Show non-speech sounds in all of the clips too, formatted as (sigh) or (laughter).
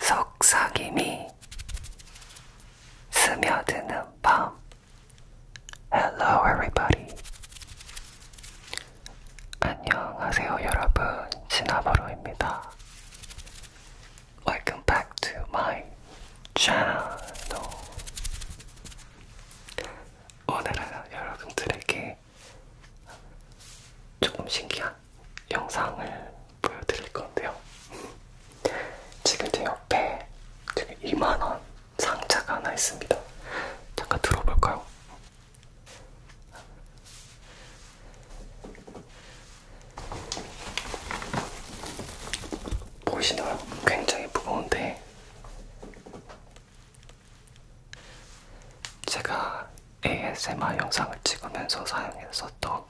속삭임이 스며드는 밤. Hello, everybody. 안녕하세요, 여러분. 진아버로입니다. Welcome back to my channel. 오늘은 여러분들에게 조금 신기한 영상을 보여드릴 건데요. 지금 제 옆에 되게 2만원 상자가 하나 있습니다. 잠깐 들어볼까요? 보이시나요? 굉장히 무거운데 제가 ASMR 영상을 찍으면서 사용했었던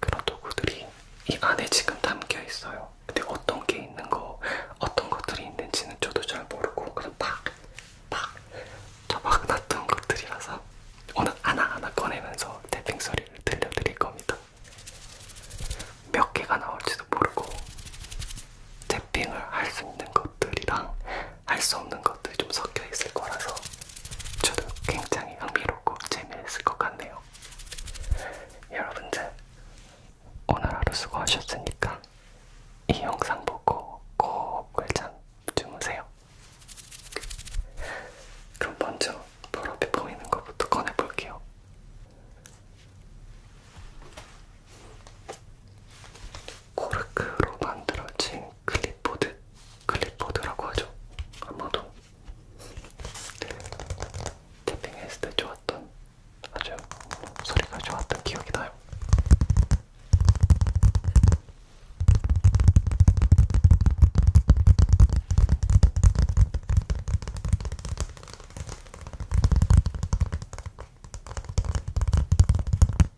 그런 도구들이 이 안에 지금 담겨 있어요. 근데 어떤 게 있는 거, 어떤 것들이 있는지는 저도 잘 모르고 그냥 막, 막, 저막 놨던 것들이라서 오늘 하나하나 꺼내면서 태핑 소리를 들려드릴 겁니다. 몇 개가 나올지도 모르고 태핑을 할 수 있는 것들이랑 할수 없는 것들이 좀 섞여 있을 거라서 저도 굉장히 흥미롭고 재미있을 것 같네요. 여러분들 오늘 하루 수고하셨으니까 이 영상 보고 꼭 꿀잠 주무세요. 그럼 먼저 불 앞에 보이는 것부터 꺼내볼게요. 코르크로 만들어진 클립보드, 클립보드라고 하죠. 아마도 태핑했을 때 좋았던 아주 소리가 좋았던 기억이 나요.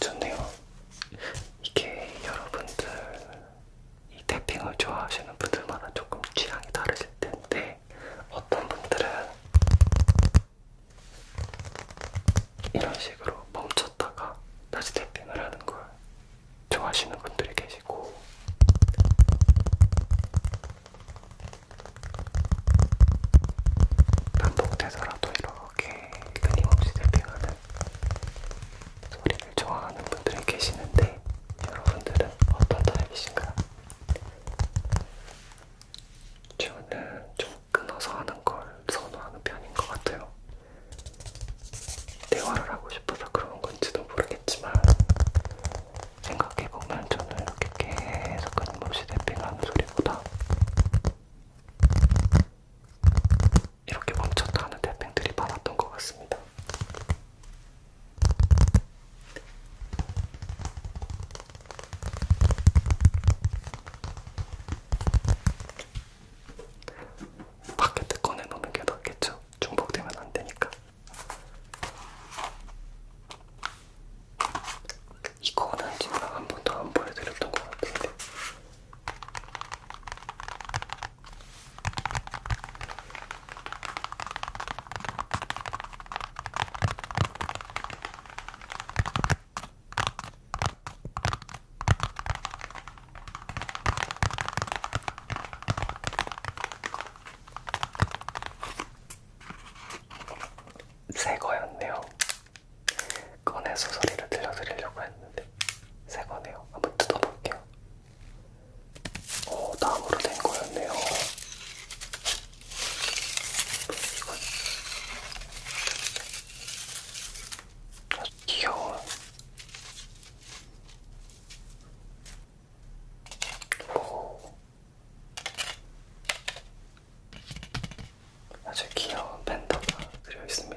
좋네요. 이게 여러분들 이 태핑을 좋아하시는 분들마다 조금 취향이 다르실 텐데 어떤 분들은 이런 식으로 멈췄다가 다시 태핑을 하는 걸 좋아하시는 분들이 계시고 반복돼서라도 이런 이렇게 끊임없이 들핑하는 소리를 좋아하는 분들이 계시는데 여러분들은 어떤 타입이신가요? 저는 좀 끊어서 하는 걸 선호하는 편인 것 같아요. 대화를 하고 싶어서 그런 건지도 모르겠지만 생각해보면 저는 이렇게 계속 끊임없이 대핑하는 소리보다 이렇게 멈췄다 하는 태평들이 많았던 것 같습니다. 바켓에 꺼내놓는 게 낫겠죠? 중복되면 안 되니까. 이거는 제가 한 번도 안 보여드렸던 것 같은데 새 거였네요. 꺼내서 소리를 들려드리려고 했는데 새 거네요. 한번 뜯어볼게요. 오, 어, 나무로 된 거였네요. 이건 아주 귀여워. 오. 뭐? 아주 귀여운 팬더가 그려 있습니다.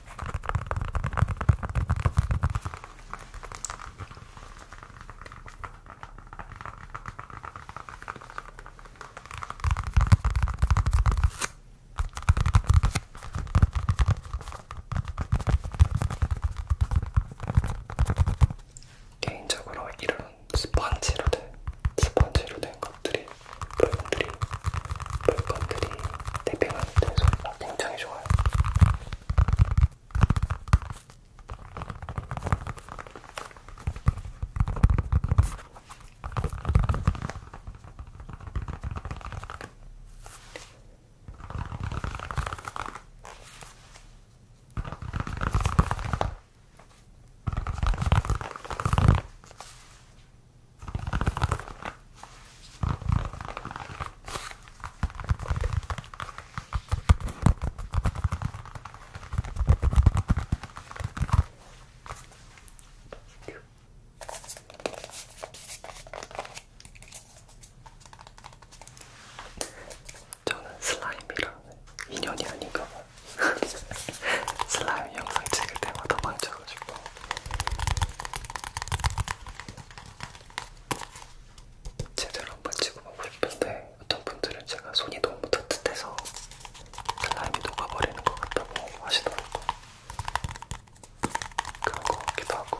개인적으로 이런 스펀지로 된 스펀지로 된 것들이 이제 물건들이 물건들이 대피가 되는 소리가 굉장히 좋아요. 저는 슬라임이랑 인연이 아닌가 봐. (laughs) 슬라임 영상 찍을 때마다 망쳐가지고. 제대로 한번 찍어보고 싶은데 어떤 분들은 제가 손이 너무 따뜻해서 슬라임이 녹아버리는 것 같다고 하시더라고요. 그런 것 같기도 하고.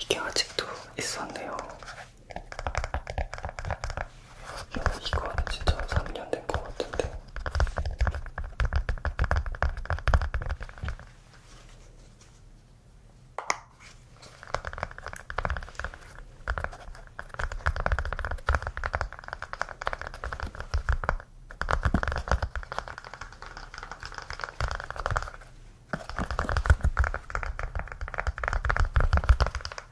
이게 아직도 있었네요. 이건 진짜 3년 된 것 같은데.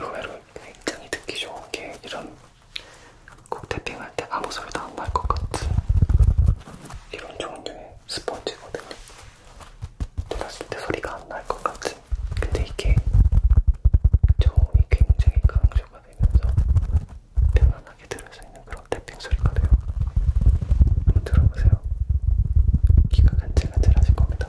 의외로 굉장히 듣기 좋은 게 이런 곡 태핑할 때 아무 소리도 안 날 것 같은 이런 종류의 스펀지거든요. 들었을 때 소리가 안 날 것 같은. 근데 이게 저음이 굉장히 강조가 되면서 편안하게 들 들면서 있는 그런 탭핑 소리가 돼요. 한번 들어보세요. 귀가 간질간질 하실 겁니다.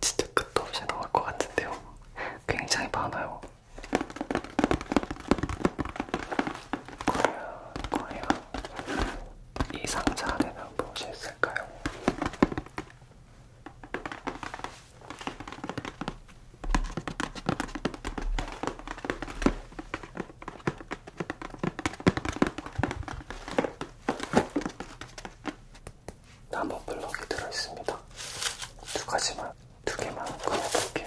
진짜 끝도 없이 나올 것 같은데요. 굉장히 많아요. 과연 이 상자 안에는 무엇이 있을까요? 나무 블럭이 들어있습니다. 두 가지만 두 개만 꺼내볼게요.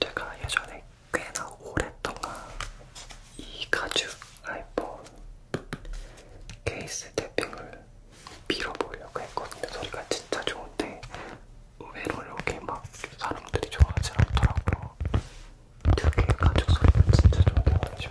제가 예전에 꽤나 오랫동안 이 가죽 아이폰 케이스 탭핑을 밀어보려고 했거든요. 소리가 진짜 좋은데 의외로 이렇게 막 사람들이 좋아하지 않더라고요. 되게 가죽 소리가 진짜 좋은데 말이죠.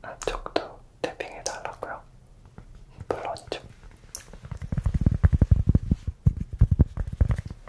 안쪽도 탭핑해 달라고요? 물론 좀.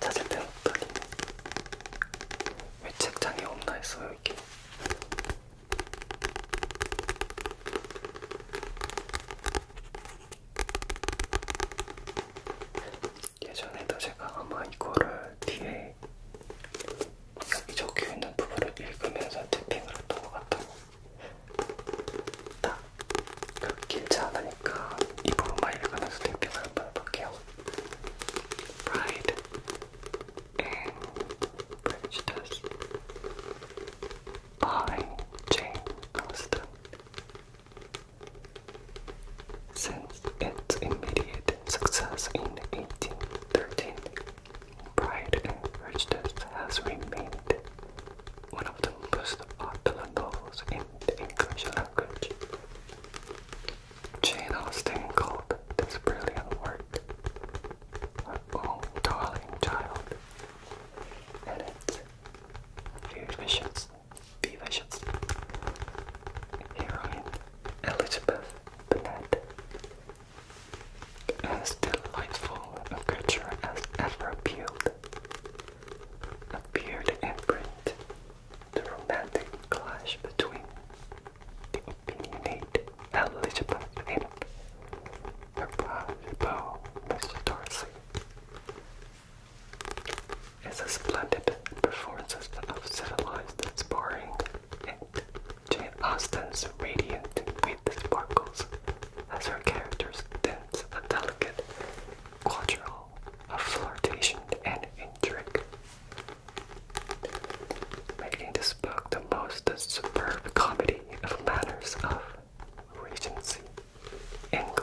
찾을 땐 없다니. 왜 책장에 없나 했어요, 이게. 예전에도 제가 아마 이거를 뒤에 여기 적혀 있는 부분을 읽으면서 탭핑을 했던 것 같아요. 딱, 그렇게 길지 않으니까 이 부분만 읽으면서 탭핑을 한번 해볼게요. Pride and Prejudice by Jane Austen. Since its immediate success in 1813, Pride and Prejudice has remained one of the most popular novels in English language. Jane Austen called this brilliant work her own darling child. And it's vivacious, vivacious heroine Elizabeth Bennet, as delightful a creature as ever appealed, appeared in print the romantic clash between the opinionate Elizabeth and the private beau, Mr. Darcy. As a splendid performance of civilized sparring and Jane Austen's radiant with sparkles as her characters dance and delicate quadrille of flirtation and intrigue, making this book the most superb comedy of manners of Regency, England.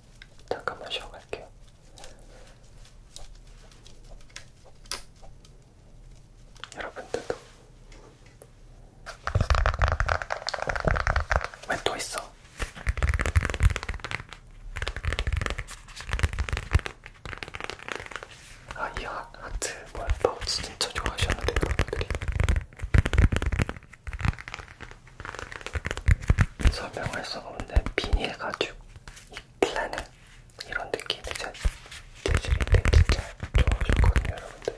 잠깐만 쉬어갈게요. 여러분들도 왜 또 있어? 아이 하트 뭐야 파우치 진짜 좋아하시는데 여러분들이 설명할 수 없는 비닐 가죽, 이 플래닛 이런 느낌이 제 재질인데 진짜 좋아하셨거든요, 여러분들.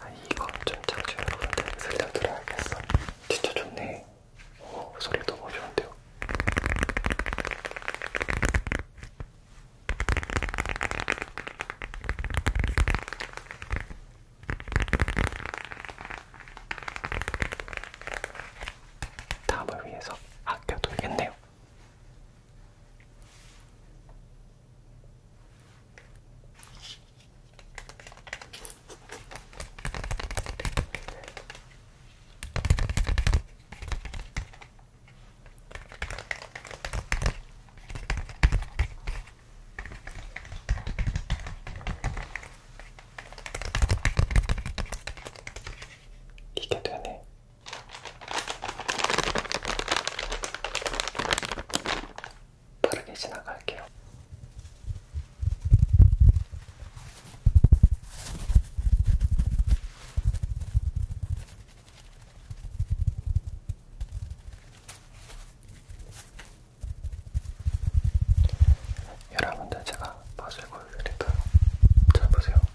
아, 이거 좀 창조해 보는데 살짝 들어야겠어. 진짜 좋네. 오, 소리 너무 좋은데요. 다음을 위해서 아껴둬야겠네요. 이게 되네. 빠르게 지나갈게요. 여러분들 제가 맛을 보여드릴까요? 잘 보세요. (laughs)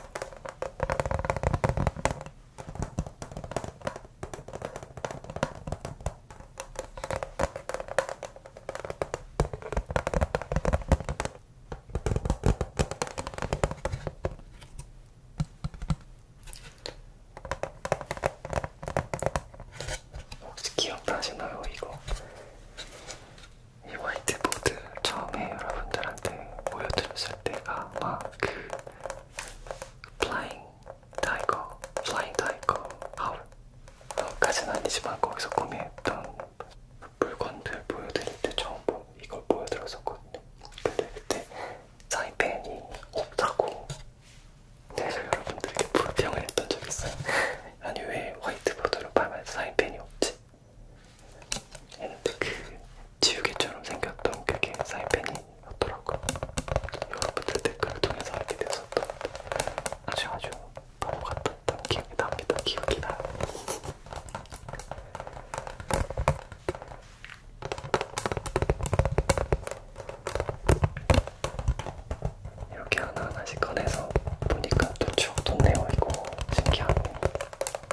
혹시 기억나시나요? 이거 이 화이트보드 처음에 여러분들한테 보여드렸을 때가 아마 그 플라잉 타이거, 플라잉 타이거 아울까지는 아니지만 거기서 구매했던 물건들 보여드릴 때 처음 이걸 보여드렸었거든요. 근데 그때 사이펜이 없다고 그래서 여러분들에게 불평을 했던 적이 있어요. 아니 왜 화이트보드로 팔면 사이펜이 없지? 그 지우개처럼 생겼던 그게 사이펜이었더라고요. 여러분들 댓글을 통해서 알게 되었던 아주 아주 바보 같았던 기억이 납니다. 기억이 나요. 이렇게 하나하나씩 꺼내서 보니까 또 추억 돋네요. 이거 신기하네.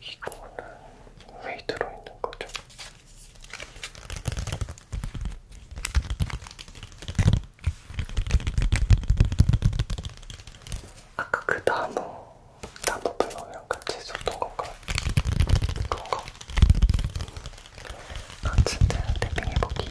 이거는 왜 들어있는 거죠? 아까 그 나무, 나무 블럭이랑 같이 줬던 건가요? 그런가? 아 진짜 탭핑해보기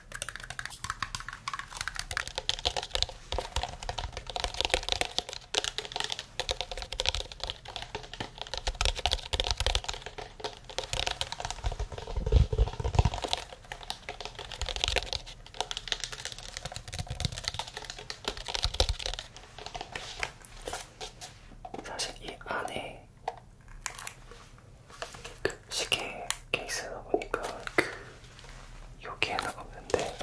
사실 이 안에 그 시계 케이스다 보니까 그 여기에는 없는데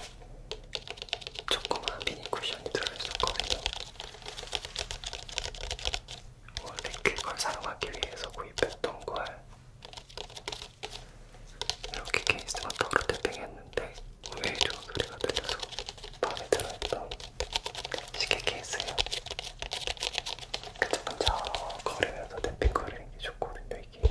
조그만 미니 쿠션이 들어있었거든요. 원래 그걸 사용하기 위해서 구입했던 걸 이렇게 케이스만 따로 탭핑했는데 오히려 소리가 들려서 마음에 들어있던 시계 케이스예요. 근처근처 걸으면서 댐핑 거리는 게 좋거든요, 이게.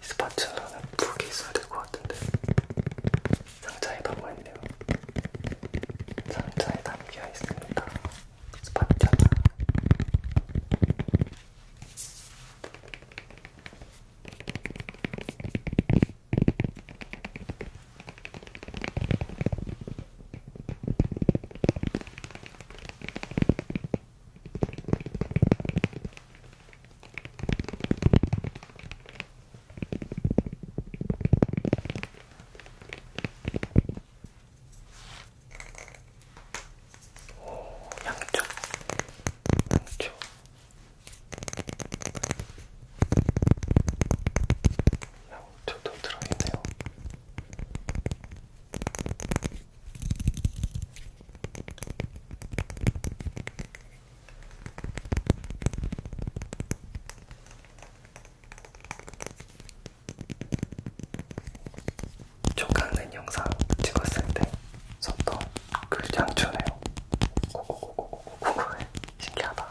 스파츌라는 두개 있어야 될것 같은데 상자에 담아있네요 상자에 담겨 있습니다 스파츌라 오, 양쪽, 양쪽, 양쪽도 들어있네요. 조각낸 영상 찍었을 때 썼던 그 양초네요. 고고고고고고고해. 신기하다.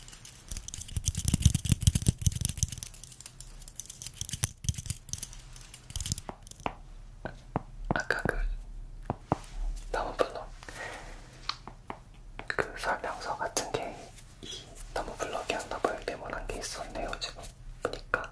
아까 그 나무블럭 그 설명서 같은 게이 나무블럭이 하나 발견한 게 있었네요 지금 보니까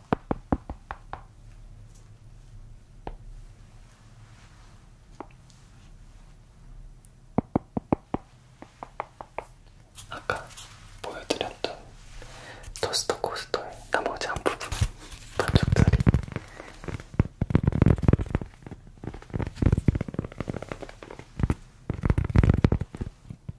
아까 보여드렸던 토스터 코스터의 나머지 한 부분 반죽들이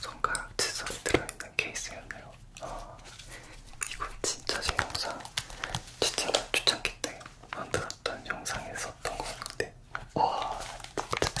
손가락 칫솔이 들어있는 케이스였네요. 어, 이건 진짜 제 영상 추천, 추천기 때 만들었던 영상에 썼던 것 같은데 와 진짜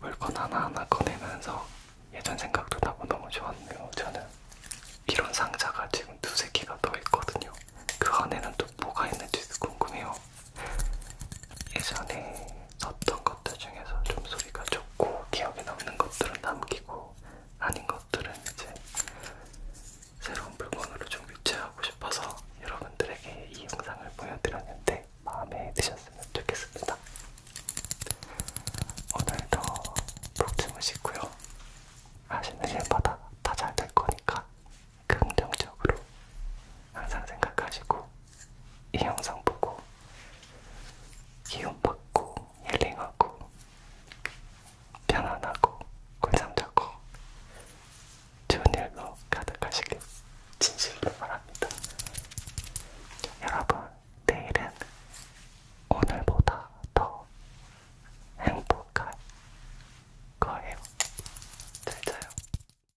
물건 하나하나 꺼내면서 예전 생각도 나고 너무 좋았네요. 저는 이런 상자가 지금 두세 개가 더 있거든요. 그 안에는 또 뭐가 있는지 궁금해요. 예전에 썼던 것들 중에서 좀 소리가 좋고 기억에 남는 것들은 남기고 아닌 것들은 이제 새로운 물건으로 좀 교체하고 싶어서 여러분들에게 이 영상을 보여드렸는데 마음에 드셨으면 좋겠습니다. 오늘도 푹 주무시고요. 하시는 일마다 다 잘 될 거니까 긍정적으로 항상 생각하시고 이 영상 보고 기운 받고 힐링하고 편안하고 꿀잠 자고 좋은 일로 가득하시길 진심으로 바랍니다. 여러분 내일은 오늘보다 더 행복할 거예요. 잘 자요.